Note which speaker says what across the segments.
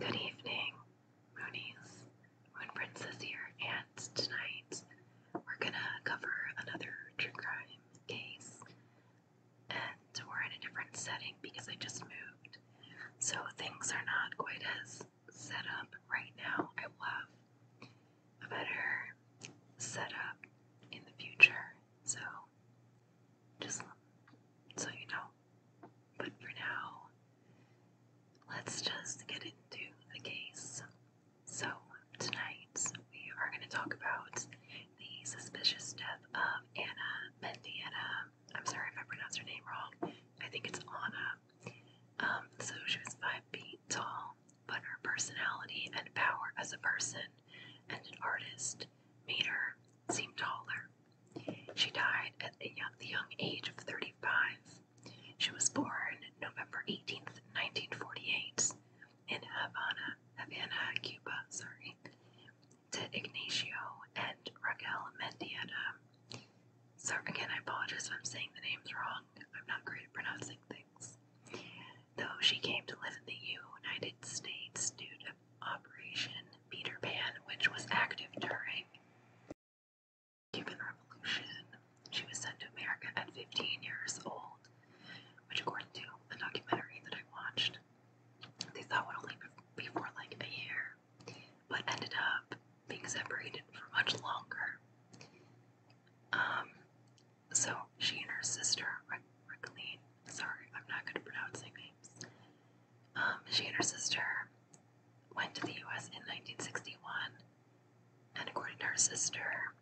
Speaker 1: Good evening, Moonies, Moon Princess here, and tonight we're gonna cover another true crime case. And we're in a different setting because I just moved, so things are not quite as set up right now. I will have a better setup in the future, so just so you know. But for now, let's just get into the case. So, tonight we are going to talk about the suspicious death of Anna Mendiana. I'm sorry if I pronounced her name wrong. I think it's Anna. Um, so, she was five feet tall, but her personality and power as a person and an artist made her seem taller. She died at the young, age of 35. She was born November 18, 1948, in Havana, Havana, Cuba, sorry, to Ignacio and Raquel Mendieta. So again, I apologize if I'm saying the names wrong. I'm not great at pronouncing things. Though she came to live in the United States due to Operation Peter Pan, which was active during the Cuban Revolution, she was sent to America at 15 years old, which, according to a documentary that I watched, they thought would only be for like a year, but ended up being separated for much longer. Um, so she and her sister, Ricaline, sorry, I'm not good at pronouncing names. Um, she and her sister went to the US in 1961, and according to her sister,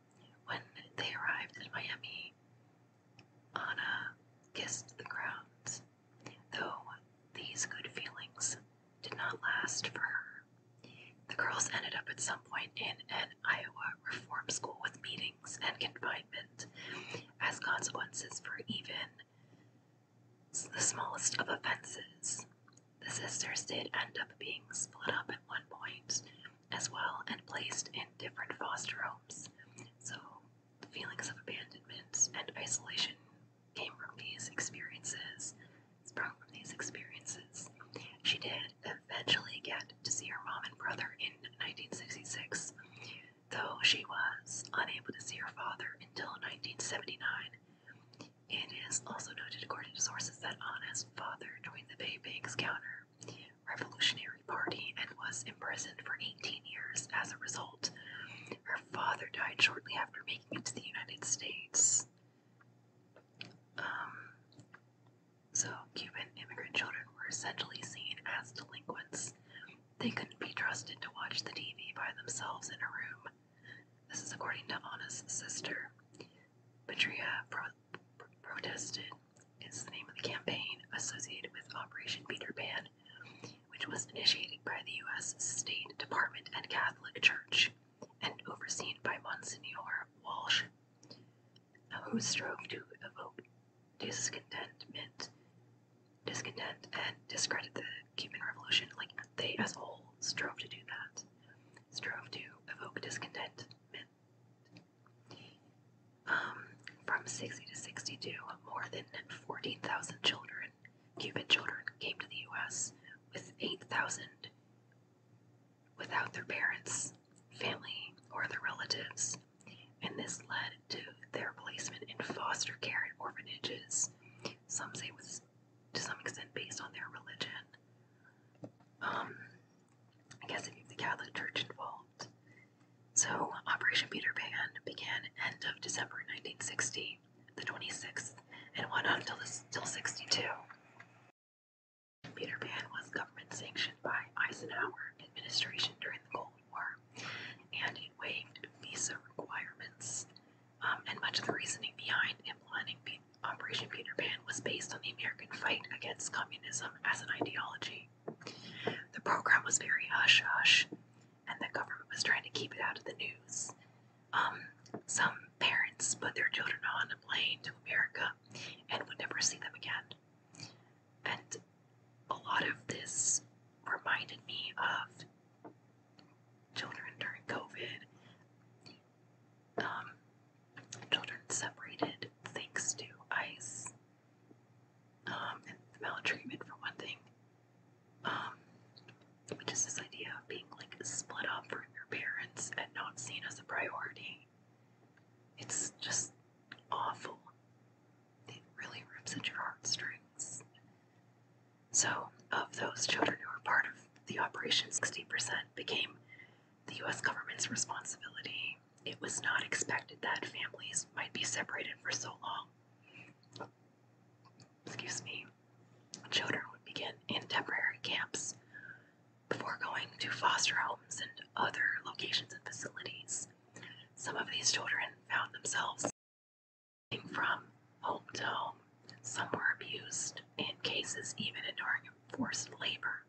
Speaker 1: when they arrived in Miami, Anna kissed the ground, though these good feelings did not last for her. The girls ended up at some point in an Iowa reform school with meetings and confinement, as consequences for even the smallest of offenses. The sisters did end up being split up at one point as well and placed in different foster homes. So, feelings of abandonment and isolation came from these experiences, sprung from these experiences. She did eventually get to see her mom and brother in 1966 though she was unable to see her father until 1979. It is also noted, according to sources, that Anna's father joined the Bay Banks counter revolutionary party and was imprisoned for 18 years as a result. Her father died shortly after making it to the United States. Um, so, Cuban immigrant children were essentially seen as delinquents. They couldn't be trusted to watch the TV by themselves in a room. This is according to Ana's sister. Petria pro protested It's the name of the campaign associated with Operation Peter Pan, which was initiated by the U.S. State Department and Catholic Church, and overseen by Monsignor Walsh, who strove to evoke discontentment, discontent, and discredit the Cuban Revolution. Like they, as a whole, strove to do that, strove to evoke discontent. Um, from 60 to 62, more than 14,000 children, Cuban children, came to the U.S. with 8,000 without their parents, family, or their relatives and this led to their placement in foster care and orphanages. Some say it was to some extent based on their religion. Um, I guess if you the Catholic Church involved. So, Operation Peter Pan began end of December 1960, the 26th, and went on until till 62. Peter Pan was government sanctioned by Eisenhower administration during the Cold we and it waived visa requirements. Um, and much of the reasoning behind implementing Operation Peter Pan was based on the American fight against communism as an ideology. The program was very hush hush, and the government was trying to keep it out of the news. Um, some parents put their children on a plane to America and would never see them again and a lot of this reminded me of children during COVID. Um, children separated thanks to ICE um, and maltreatment, for one thing. Um, just this idea of being like split up from your parents and not seen as a priority. It's just awful it really rips at your heartstrings. So, of those children who were part of the operation, 60% became the U.S. government's responsibility. It was not expected that families might be separated for so long. Excuse me. Children would begin in temporary camps before going to foster homes and other locations and facilities. Some of these children found themselves from home to home. Some were abused, in cases even enduring forced labor.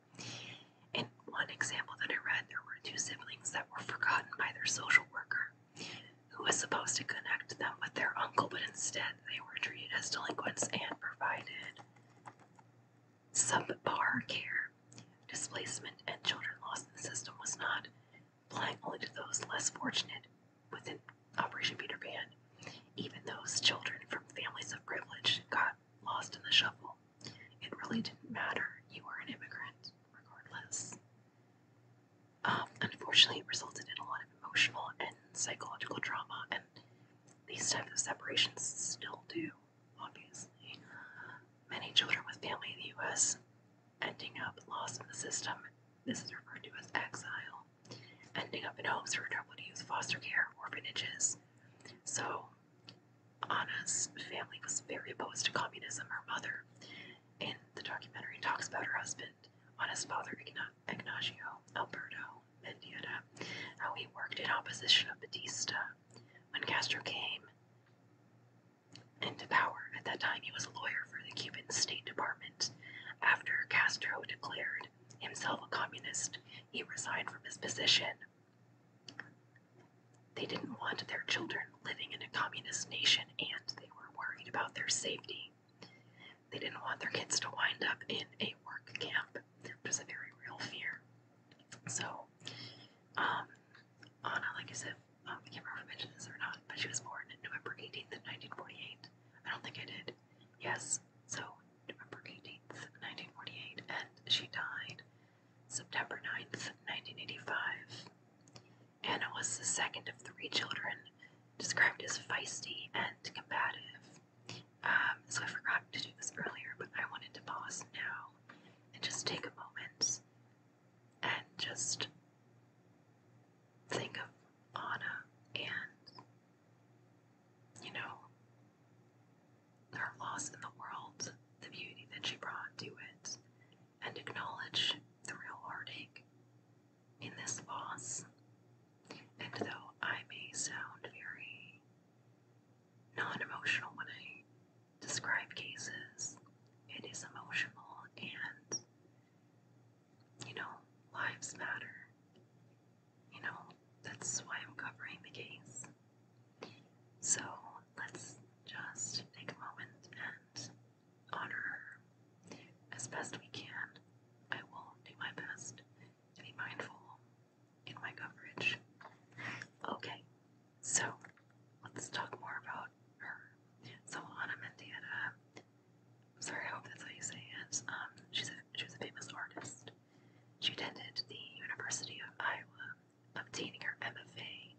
Speaker 1: In one example that I read, there were two siblings that were forgotten by their social worker, who was supposed to connect them with their uncle, but instead they were treated as delinquents and provided subpar care displacement, and children lost in the system was not, applying only to those less fortunate within Operation Peter Pan. Even those children from families of privilege got lost in the shuffle. It really didn't matter. You were an immigrant, regardless. Um, unfortunately, it resulted in a lot of emotional and psychological trauma, and these types of separations still do, obviously. Many children with family in the U.S. ending up lost in the system. This is referred to as exile. Ending up in homes for troubled youth, foster care, orphanages. So, Anna's family was very opposed to communism. Her mother, in the documentary, talks about her husband, Anna's father, Ignacio Alberto Mendieta, how he worked in opposition of Batista. When Castro came into power. At that time, he was a lawyer for the Cuban State Department. After Castro declared himself a communist, he resigned from his position. They didn't want their children living in a communist nation and they were worried about their safety. They didn't want their kids to wind up in a work camp, which was a very real fear. So, um, Anna, like I said, um, I can't remember if I mentioned this or not, but she was born November 18th, 1948. I don't think I did. Yes, so November 18th, 1948, and she died September 9th, 1985. Anna was the second of three children, described as feisty and combative. Um, so I forgot to do this earlier, but I wanted to pause now and just take a moment and just think of Anna and, you know, her loss in the world, the beauty that she brought to it, and acknowledge the real heartache in this loss. And though I may sound very non emotional when I describe cases. It is emotional and, you know, lives matter. You know, that's why I'm covering the case. So let's just take a moment and honor her as best we can. I will do my best to be mindful in my coverage. Okay, so let's talk more about her. So Ana Mendieta, sorry, I hope that's how you say it. Um, she's a, she was a famous artist. She attended the University of Iowa, obtaining her MFA,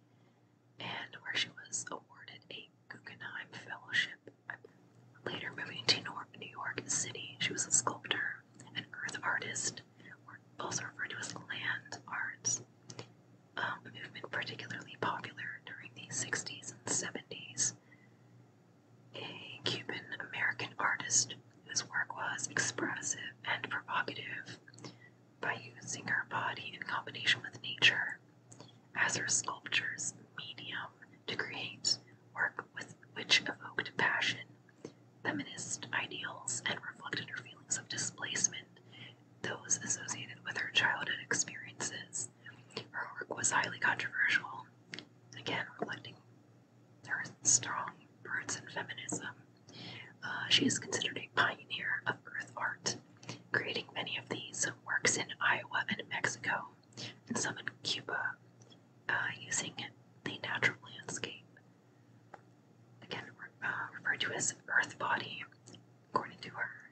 Speaker 1: and where she was awarded a Guggenheim Fellowship. Later, moving to New York City, she was a sculptor, an earth artist, or also referred to as land art um, movement particularly popular during the 60s and 70s. A Cuban American artist whose work was expressive and provocative by using her body in combination with nature as her sculpture's medium to create work with which evoked passion, feminist ideals, and reflected her feelings of displacement those associated with her childhood experiences. Her work was highly controversial, again reflecting her strong roots in feminism. Uh, she is considered a pioneer of earth art, creating many of these works in Iowa and Mexico, and some in Cuba, uh, using the natural landscape. Again, uh, referred to as Earth Body, According to her,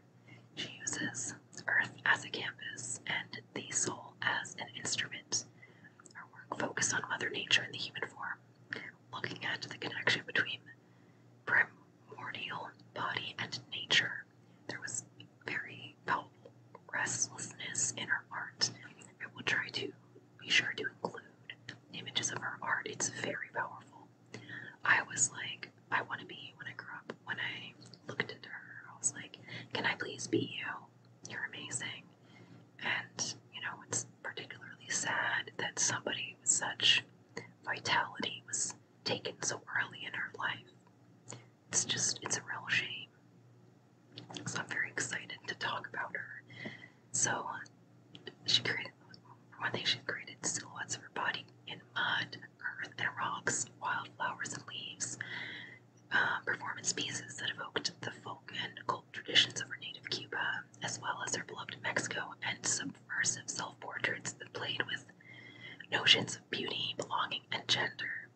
Speaker 1: she uses Earth as a canvas and the soul as an instrument. Her work focuses on Mother Nature and the human form, looking at the connection between primordial body and nature. There was very palpable restlessness in her art. I will try to be sure to include images of her art. It's very powerful. I was like, I want to be when I grow up. When I looked at her, I was like, can I please be you? You're amazing. And, you know, it's particularly sad that somebody with such vitality was taken so early in her life. It's just, it's a real shame. So I'm very excited to talk about her. So she created for one thing, she created silhouettes of her body in mud, earth, and rocks, wildflowers and leaves. Uh, performance pieces that evoked the folk and cult traditions of her native Cuba, as well as her beloved Mexico, and subversive self-portraits that played with notions of beauty, belonging, and gender.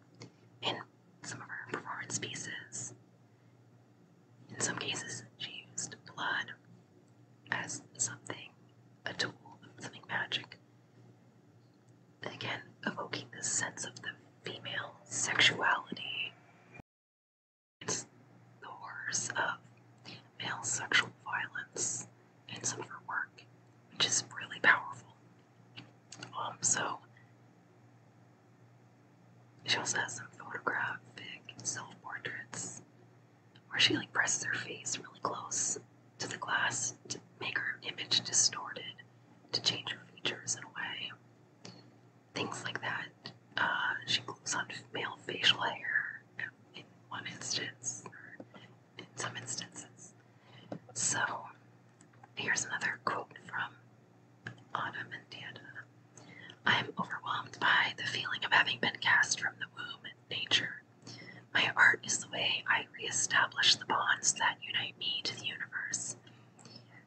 Speaker 1: In some of her performance pieces, in some cases, she used blood, as something, a tool, something magic. And again, evoking the sense of the female sexuality. It's the horrors of male sexual violence in some of her work, which is really powerful. Um, so she also has some photographic self portraits where she like presses her face really close to the glass to make her image distorted, to change her features in a way. Things like that. Uh, she glues on male facial hair in one instance, or in some instances. So, here's another quote from Autumn and Dana. I am overwhelmed by the feeling of having been cast from the womb. Nature my art is the way I reestablish the bonds that unite me to the universe.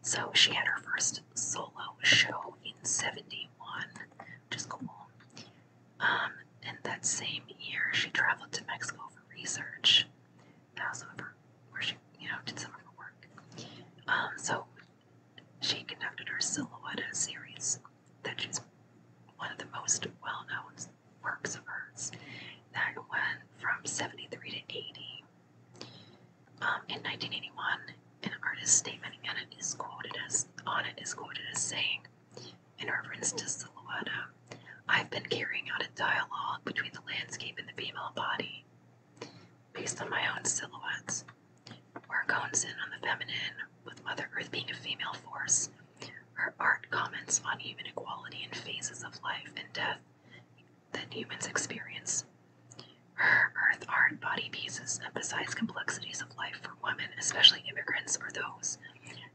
Speaker 1: So she had her first solo show in 71, which is cool. Um, and that same year, she traveled to Mexico for research. That was some where she, you know, did some of her work. Um, so she conducted her Silhouette series that she's one of the most well known works of hers that went from 73 to 80. Um, in 1981, an artist's statement and it is quoted as on it is quoted as saying, in reference to silhouettes, I've been carrying out a dialogue between the landscape and the female body, based on my own silhouettes, where cones in on the feminine with Mother Earth being a female force. Her art comments on human equality and phases of life and death that humans experience. Her Earth art body pieces emphasize complexities of life for women, especially immigrants or those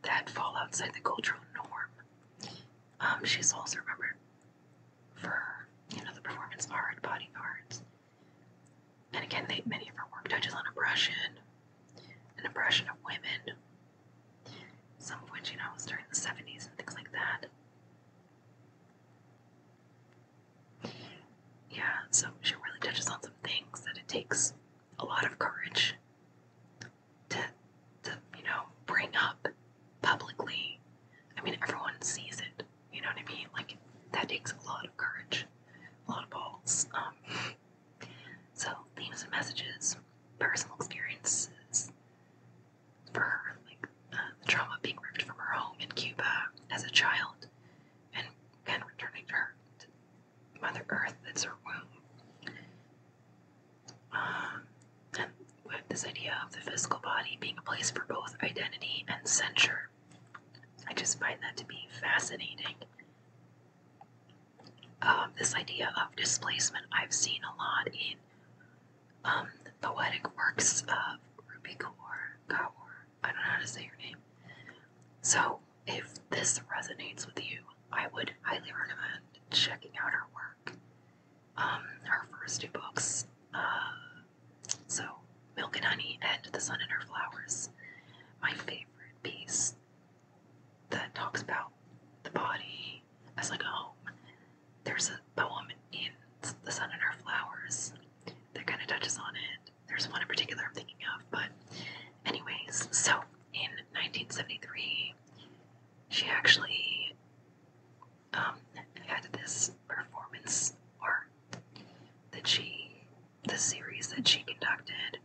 Speaker 1: that fall outside the cultural norm. Um, she's also remembered for you know the performance art, body art, and again, many of her work touches on oppression an oppression of women, some of which, you know, was during the 70s and things like that. Yeah, so she really touches on some things that it takes a lot of courage to, to you know, bring up publicly. I mean, everyone sees it. You know what I mean? Like, that takes a lot of courage, a lot of balls. Um, so, themes and messages, personal experiences for her, like uh, the trauma being ripped from her home in Cuba as a child, and then returning to her Mother Earth that's her womb. Um, and with this idea of the physical body being a place for both identity and censure. I just find that to be fascinating um, this idea of displacement I've seen a lot in um, poetic works of Rupi Kaur, I don't know how to say your name. So, if this resonates with you, I would highly recommend checking out her work. Um, her first two books, uh, so Milk and Honey and The Sun and Her Flowers, my favorite piece that talks about the body as like a home. There's a poem in The Sun and Her Flowers that kind of touches on it. There's one in particular I'm thinking of, but anyways, so in 1973, she actually had um, this performance art that she the series that she conducted,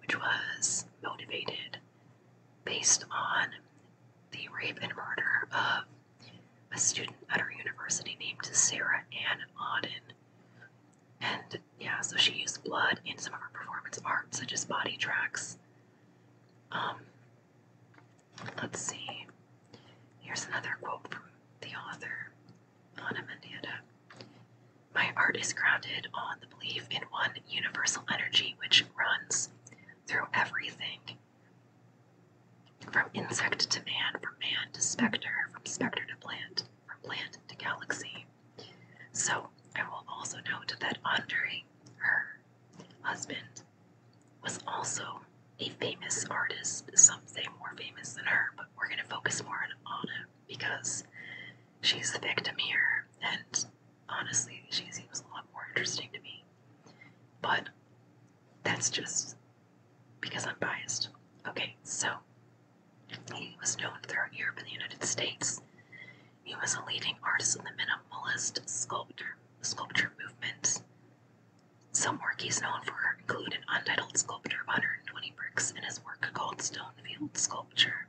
Speaker 1: which was motivated based on the rape and murder of a student at her university named Sarah Ann Auden. And yeah, so she used blood in some of her performance art, such as body tracks. Um, let's see. Here's another quote from the author. Manada. My art is grounded on the belief in one universal energy which runs through everything from insect to man, from man to spectre, from spectre to plant, from plant to galaxy. So I will also note that Andre, her husband, was also a famous artist, some say more famous than her, but we're going to focus more on Anna because she's the victim here, and honestly, she seems a lot more interesting to me. But that's just because I'm biased. Okay, so he was known throughout Europe and the United States. He was a leading artist in the minimalist sculpture movement. Some work he's known for include an untitled sculpture of 120 bricks and his work called Stonefield Sculpture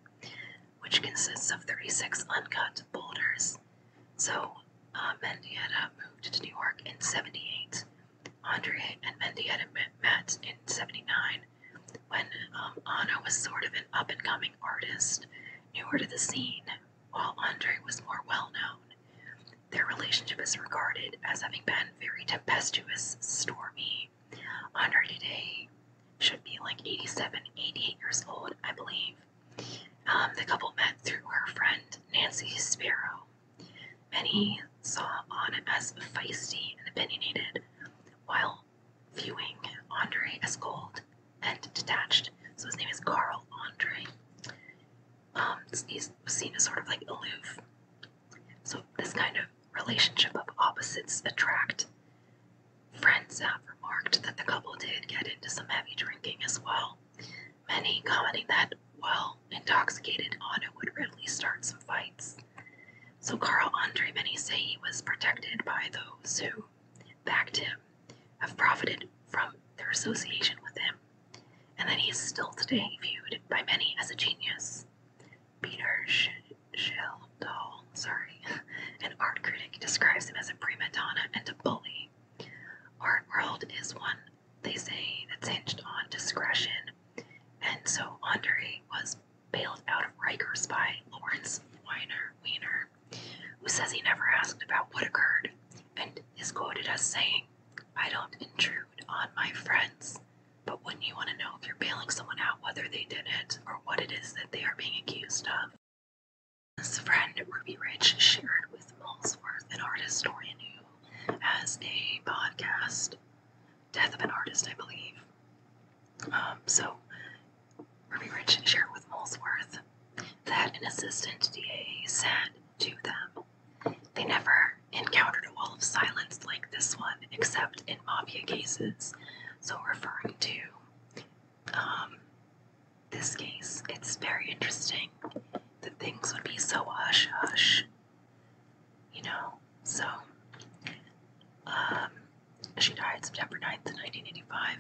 Speaker 1: which consists of 36 uncut boulders. So uh, Mendieta moved to New York in 78. Andre and Mendieta met in 79 when um, Anna was sort of an up and coming artist, newer to the scene, while Andre was more well known. Their relationship is regarded as having been very tempestuous, stormy, on her today, should be like 87, 88 years old, I believe. Um, the couple met through her friend Nancy Sparrow. Many saw Anna as feisty and opinionated, while viewing Andre as cold and detached. So his name is Carl Andre. Um, he's seen as sort of like aloof. So this kind of relationship of opposites attract. Friends have remarked that the couple did get into some heavy drinking as well, many commenting that, well, intoxicated, Anna would readily start some fights. So Karl Andre, many say he was protected by those who backed him, have profited from their association with him, and that he is still today viewed by many as a genius. Peter Sh sorry, an art critic, describes him as a prima donna and a bully. Art world is one, they say, that's hinged on discretion, and so Andre was bailed out of Rikers by Lawrence Weiner, Weiner, who says he never asked about what occurred, and is quoted as saying, I don't intrude on my friends. But wouldn't you want to know if you're bailing someone out whether they did it or what it is that they are being accused of? This friend Ruby Rich shared with Molesworth, an art historian who has a podcast, Death of an Artist, I believe. Um, so, Ruby Rich shared with Molesworth that an assistant DA said to them, They never encountered a wall of silence like this one, except in in mafia cases. So, referring to um, this case, it's very interesting that things would be so hush hush, you know. So, um, she died September 9th, 1985.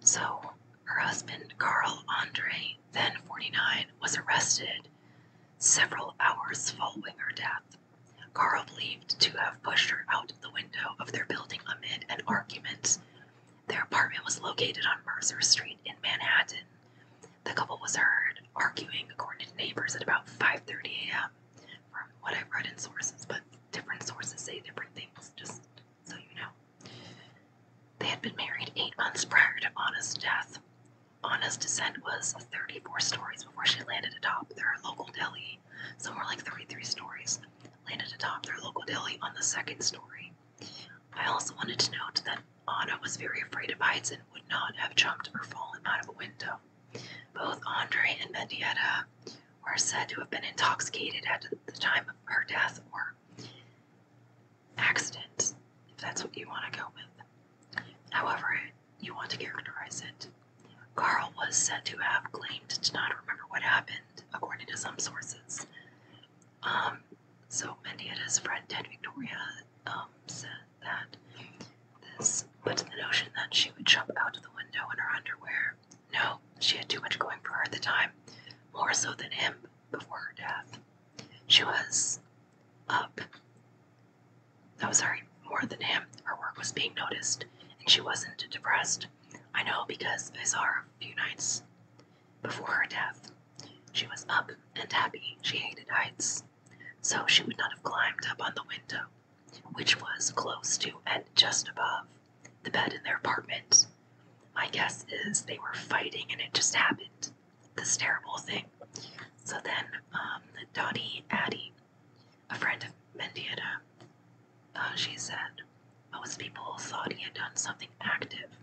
Speaker 1: So, her husband, Carl Andre, then 49, was arrested several hours following her death. Carl believed to have pushed her out the window of their building amid an argument. Their apartment was located on Mercer Street in Manhattan. The couple was heard arguing, according to neighbors, at about 5:30 a.m. From what I've read in sources, but different sources say different things. Just so you know, they had been married eight months prior to Anna's death. Anna's descent was 34 stories before she landed atop their local deli Somewhere like 33 stories, landed atop their local deli on the second story. I also wanted to note that Anna was very afraid of heights and would not have jumped or fallen out of a window. Both Andre and Mendieta were said to have been intoxicated at the time of her death or accident, if that's what you want to go with. However, you want to characterize it. Carl was said to have claimed to not remember what happened, according to some sources. Um, so Mindy and his friend Ted Victoria um, said that this put the notion that she would jump out of the window in her underwear. No, she had too much going for her at the time, more so than him before her death. She was up that was her more than him. Her work was being noticed, and she wasn't depressed. I know because I saw her a few nights before her death. She was up and happy. She hated heights, so she would not have climbed up on the window, which was close to and just above the bed in their apartment. My guess is they were fighting and it just happened. This terrible thing. So then, um, Dottie Addie a friend of Mendieta, uh, she said. Most people thought he had done something active.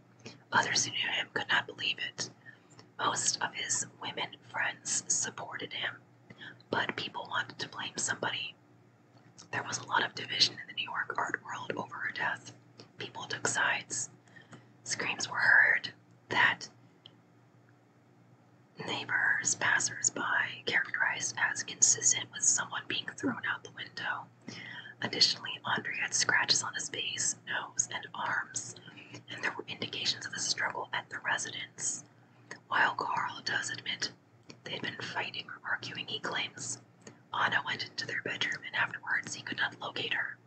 Speaker 1: Others who knew him could not believe it. Most of his women friends supported him, but people wanted to blame somebody. There was a lot of division in the New York art world over her death. People took sides. Screams were heard that Neighbors, passers by, characterized as consistent with someone being thrown out the window. Additionally, Andre had scratches on his face, nose, and arms, and there were indications of a struggle at the residence. While Carl does admit they had been fighting or arguing, he claims Anna went into their bedroom and afterwards he could not locate her.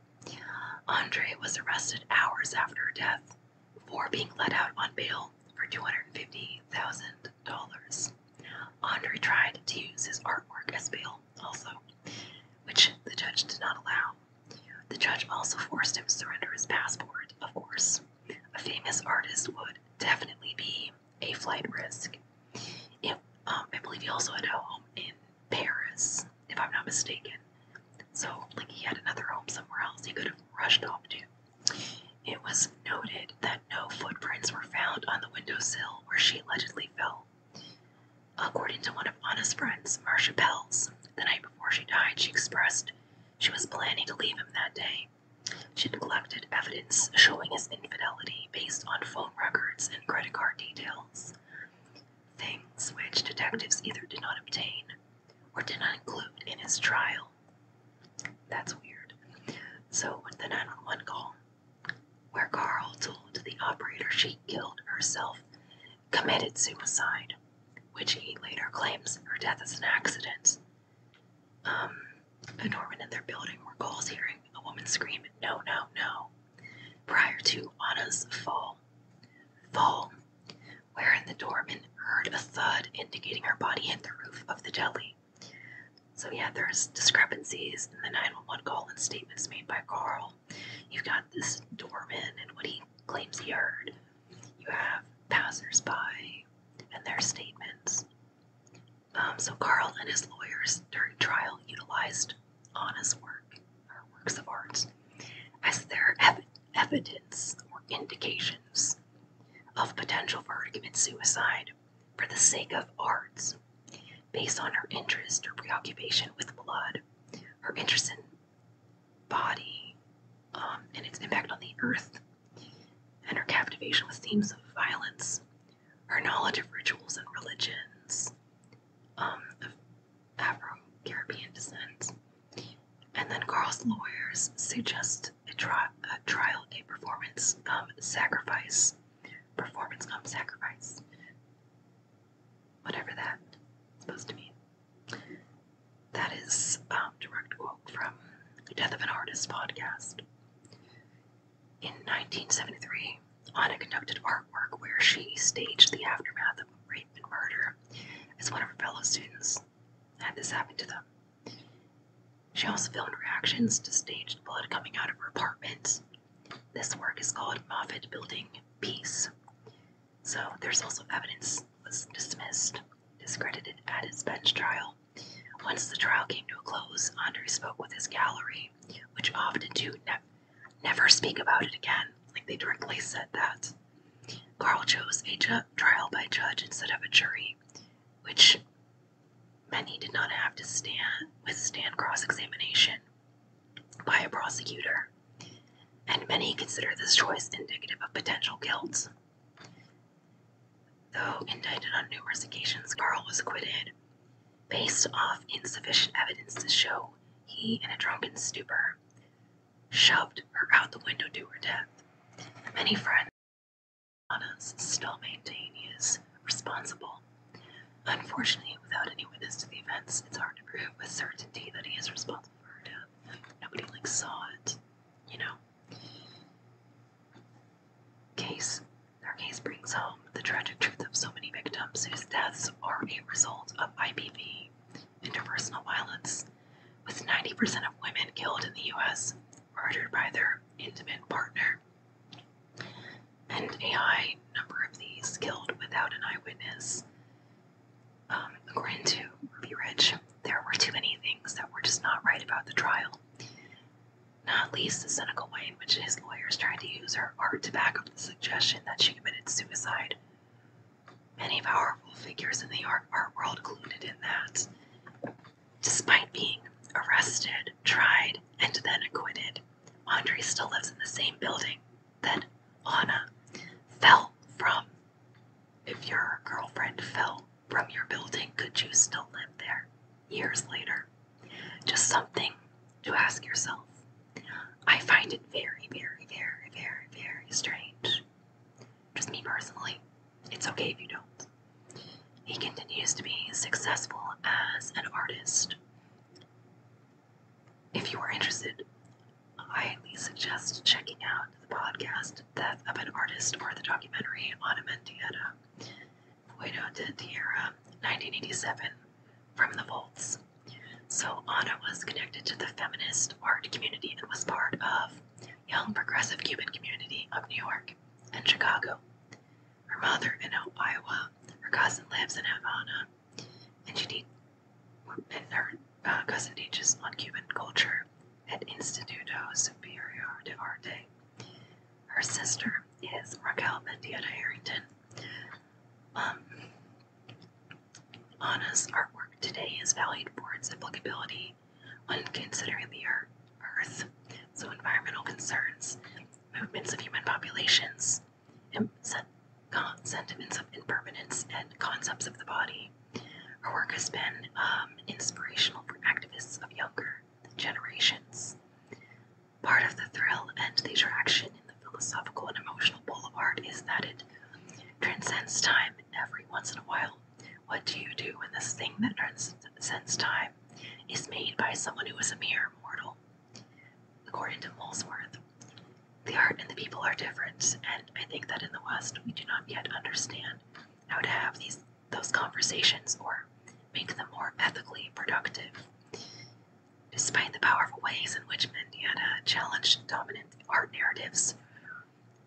Speaker 1: Andre was arrested hours after her death before being let out on bail for $250,000. Andre tried to use his artwork as bail, also, which the judge did not allow. The judge also forced him to surrender his passport, of course. A famous artist would definitely be a flight risk. If, um, I believe he also had a home in Paris, if I'm not mistaken. So, like, he had another home somewhere else he could have rushed off to. It was noted that no footprints were found on the windowsill where she allegedly fell. According to one of Anna's friends, Marcia Pells, the night before she died, she expressed she was planning to leave him that day. She had collected evidence showing his infidelity based on phone records and credit card details, things which detectives either did not obtain or did not include in his trial. That's weird. So the 911 call, where Carl told the operator she killed herself, committed suicide, which he later claims her death is an accident. Um, a Norman in their building were calls hearing a woman scream, "No, no, no!" prior to Anna's fall. Fall, in the doorman heard a thud indicating her body hit the roof of the deli. So, yeah, there's discrepancies in the 911 call and statements made by Carl. You've got this doorman and what he claims he heard. You have passersby and their statements. Um, so, Carl and his lawyers during trial utilized honest work, or works of art, as their evidence or indications of potential for her to commit suicide for the sake of arts, based on her interest or preoccupation with blood, her interest in body, um, and its impact on the earth, and her captivation with themes of violence, her knowledge of rituals and religions um, of Afro Caribbean descent. And then Carl's lawyers suggest a, trial, a performance cum sacrifice, performance cum sacrifice, whatever that's supposed to mean. That is um, direct quote from Death of an Artist podcast. In 1973, Anna conducted artwork where she staged the aftermath of rape and murder as one of her fellow students had this happen to them. She also filmed reactions to staged blood coming out of her apartment. This work is called Moffat Building Peace. So there's also evidence was dismissed, discredited at his bench trial. Once the trial came to a close, Andre spoke with his gallery, which often do never speak about it again, like they directly said that. Carl chose a trial by judge instead of a jury, which Many did not have to stand withstand cross examination by a prosecutor, and many consider this choice indicative of potential guilt. Though indicted on numerous occasions, Carl was acquitted based off insufficient evidence to show he, in a drunken stupor, shoved her out the window to her death. Many friends Anas still maintain he is responsible. Unfortunately, without any witness to the events, it's hard to prove with certainty that he is responsible for her death. Nobody like saw it, you know. Case their case brings home the tragic truth of so many victims whose deaths are a result of IPV, interpersonal violence, with 90% of women killed in the U.S murdered by their intimate partner, and a high number of these killed without an eyewitness. Um, according to Ruby there were too many things that were just not right about the trial, not least the cynical way in which his lawyers tried to use her art to back up the suggestion that she committed suicide. Many powerful figures in the art, world included in that, Despite being arrested, tried, and then acquitted, Andre still lives in the same building that Anna fell from. If your girlfriend fell from your building, could you still live there years later? Just something to ask yourself. I find it very, very, very, very, very strange. Just me personally. It's okay if you don't. He continues to be successful as an artist. If you are interested, I highly suggest checking out the podcast Death of an Artist or the documentary on Amendieta, Fuego de Tierra, 1987, From the Volts. So, Ana was connected to the feminist art community and was part of Young Progressive Cuban Community of New York. In Chicago. Her mother in Iowa. Her cousin lives in Havana, and she te- and her uh, cousin teaches on Cuban culture at Instituto Superior de Arte. Her sister is Raquel Mendieta Harrington. Um, artwork today is valued for its applicability when considering the Earth. So, environmental concerns, movements of human populations, sentiments of impermanence, and concepts of the body. Her work has been um, inspirational for activists of younger generations. Part of the thrill and the attraction in the philosophical and emotional pull of art is that it transcends time every once in a while. What do you do when this thing that transcends time is made by someone who is a mere mortal. According to Molesworth, the art and the people are different, and I think that in the West we do not yet understand how to have these those conversations or make them more ethically productive. Despite the powerful ways in which Mendieta challenged dominant art narratives,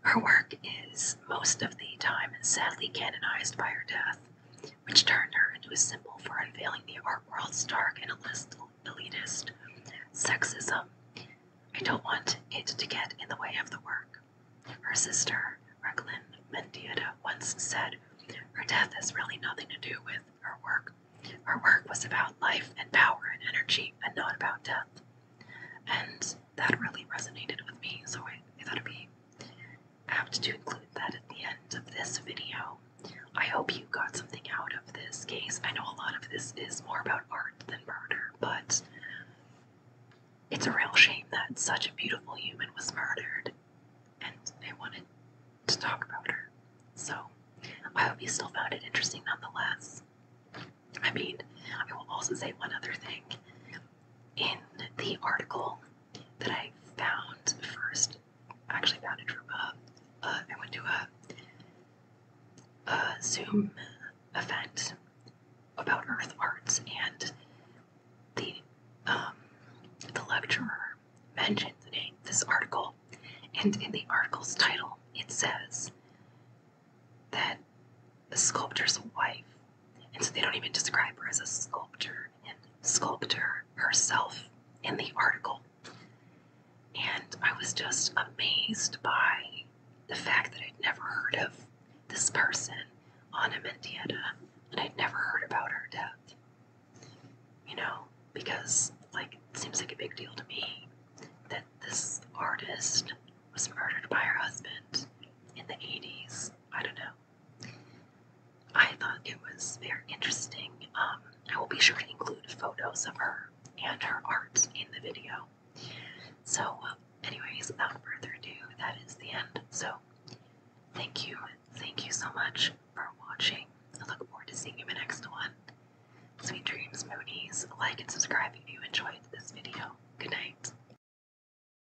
Speaker 1: her work is most of the time sadly canonized by her death, which turned her into a symbol for unveiling the art world's dark and elitist sexism. I don't want it to get in the way of the work. Her sister, Raglan Mendieta, once said, Her death has really nothing to do with her work. Her work was about life and power and energy and not about death. And that really resonated with me, so I thought it'd be apt to include that at the end of this video. I hope you got something out of this case. I know a lot of this is more about art than murder, but it's a real shame that such a beautiful human was murdered, and I wanted to talk about her. So, I hope you still found it interesting nonetheless. I mean, I will also say one other thing in the article that I found first. actually found it from uh, uh went to a, a Zoom event about Earth Arts, and the um, the lecturer mentioned the name this article, and in the article's title it says that the sculptor's wife. And so they don't even describe her as a sculptor and sculptor herself in the article. And I was just amazed by the fact that I'd never heard of this person, Ana Mendieta, and I'd never heard about her death. You know, because, like, it seems like a big deal to me that this artist was murdered by her husband in the 80s. I don't know. I thought it was very interesting. Um, I will be sure to include photos of her and her art in the video. So, uh, anyways, without further ado, that is the end. So, thank you, thank you so much for watching. I look forward to seeing you in the next one. Sweet dreams, Moonies. Like and subscribe if you enjoyed this video. Good night.